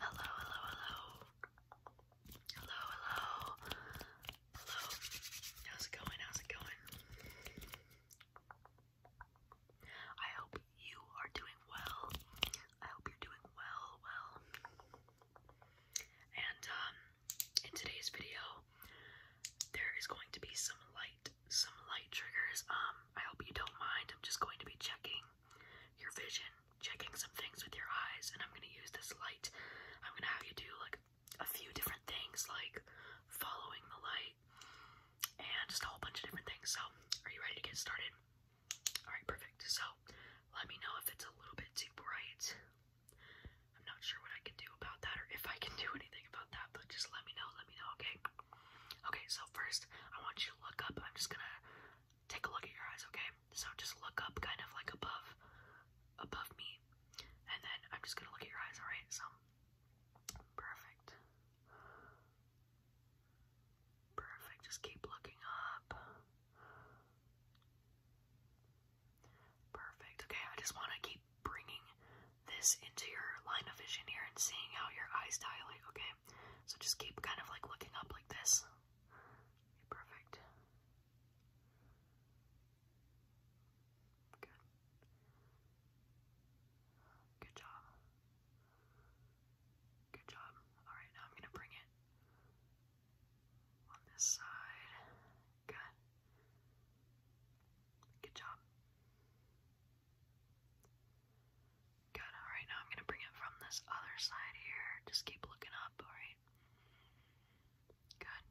Hello, hello, hello. Hello, hello. Hello. How's it going? How's it going? I hope you are doing well. I hope you're doing well, well. And um, in today's video, there is going to be some light some light triggers. Um, I hope you don't mind. I'm just going to be checking your vision, checking some things with your eyes, and I'm gonna use this light. I'm gonna have you do like a few different things, like following the light and just a whole bunch of different things. So, are you ready to get started? Alright, perfect. So, let me know if it's a little bit too bright. I'm not sure what I can do about that or if I can do anything about that, but just let me know, let me know, okay? Okay, so first I want you to look up. I'm just gonna take a look at your eyes, okay? So just look up kind of like above above me. And then I'm just gonna look at your eyes, alright? So perfect. Perfect. Just keep looking up. Perfect. Okay, I just want to keep bringing this into your line of vision here and seeing how your eyes dilate, okay? So just keep kind of like looking up like this. perfect. Good. Good job. Good job. Alright, now I'm gonna bring it on this side. Good. Good job. Good, alright, now I'm gonna bring it from this other side here. Just keep looking up, alright? Good.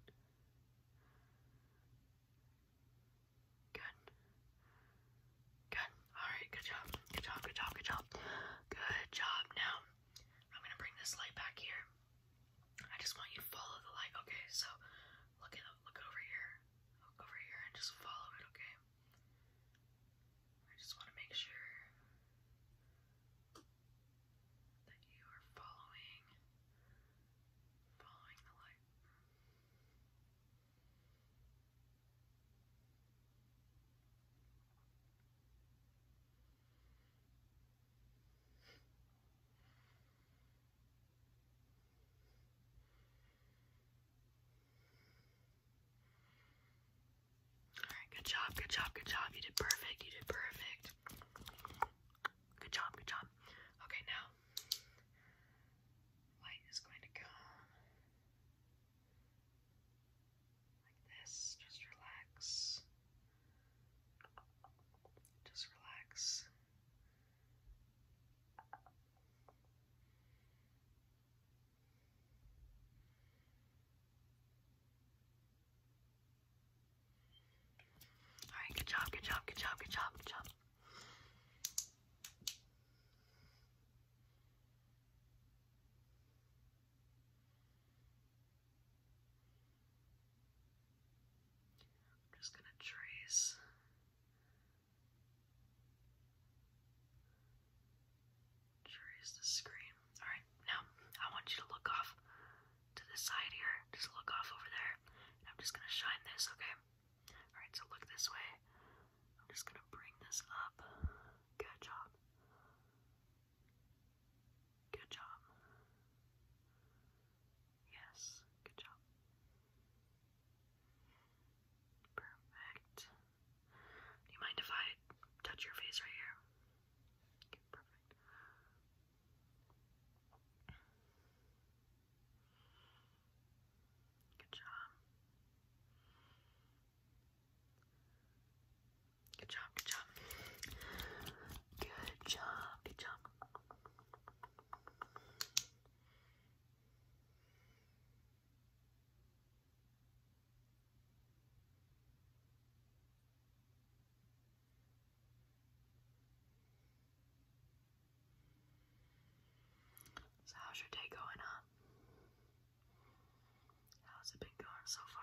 Good. Good. Alright, good job. Good job, good job, good job. Good job. Now, I'm gonna bring this light back here. I just want you to follow the light. Okay, so Look at look over here. Look over here and just follow it, okay? I just want to make sure that you are following following the light. Alright, good job, good job, good job. You did perfect, you did perfect. Good job, good job. Okay, now light is going to come like this. Just relax. Just relax. Alright, good job, good job, good job, good job, good job. I'm just going to trace Trace the screen. Alright, now I want you to look off to this side here. Just look off over there. I'm just gonna shine this, okay? Alright, so look this way. I'm just gonna bring this up. Good job. Good job. Yes, good job. Perfect. Do you mind if I touch your face right here? Okay, perfect. Good job. Good job, good job. Good job, good job. So how's your day going, huh? How's it been going so far?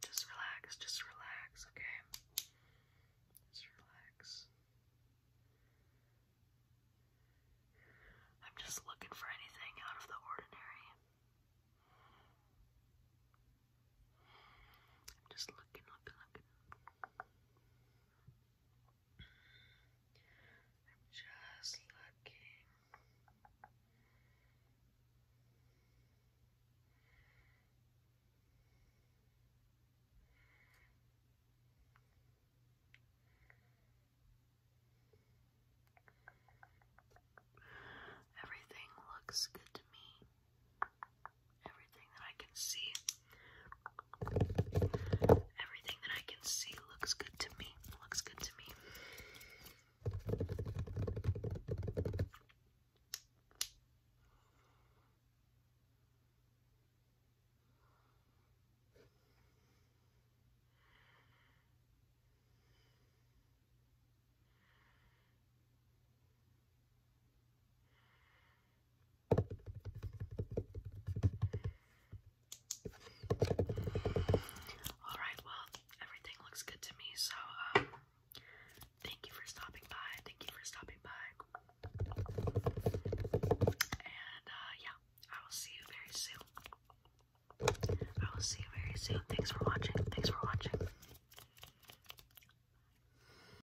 Just relax, just relax, okay? Just relax. I'm just looking for anything out of the ordinary. I'm just looking, looking, looking just looking. Everything looks good to me. Everything that I can see, everything that I can see looks good to me. Looks good to me. Alright, well, everything looks good to me, so um, thank you for stopping by. Thank you for stopping by. And uh, yeah, I will see you very soon. I will see you very soon. Thanks for watching. Thanks for watching.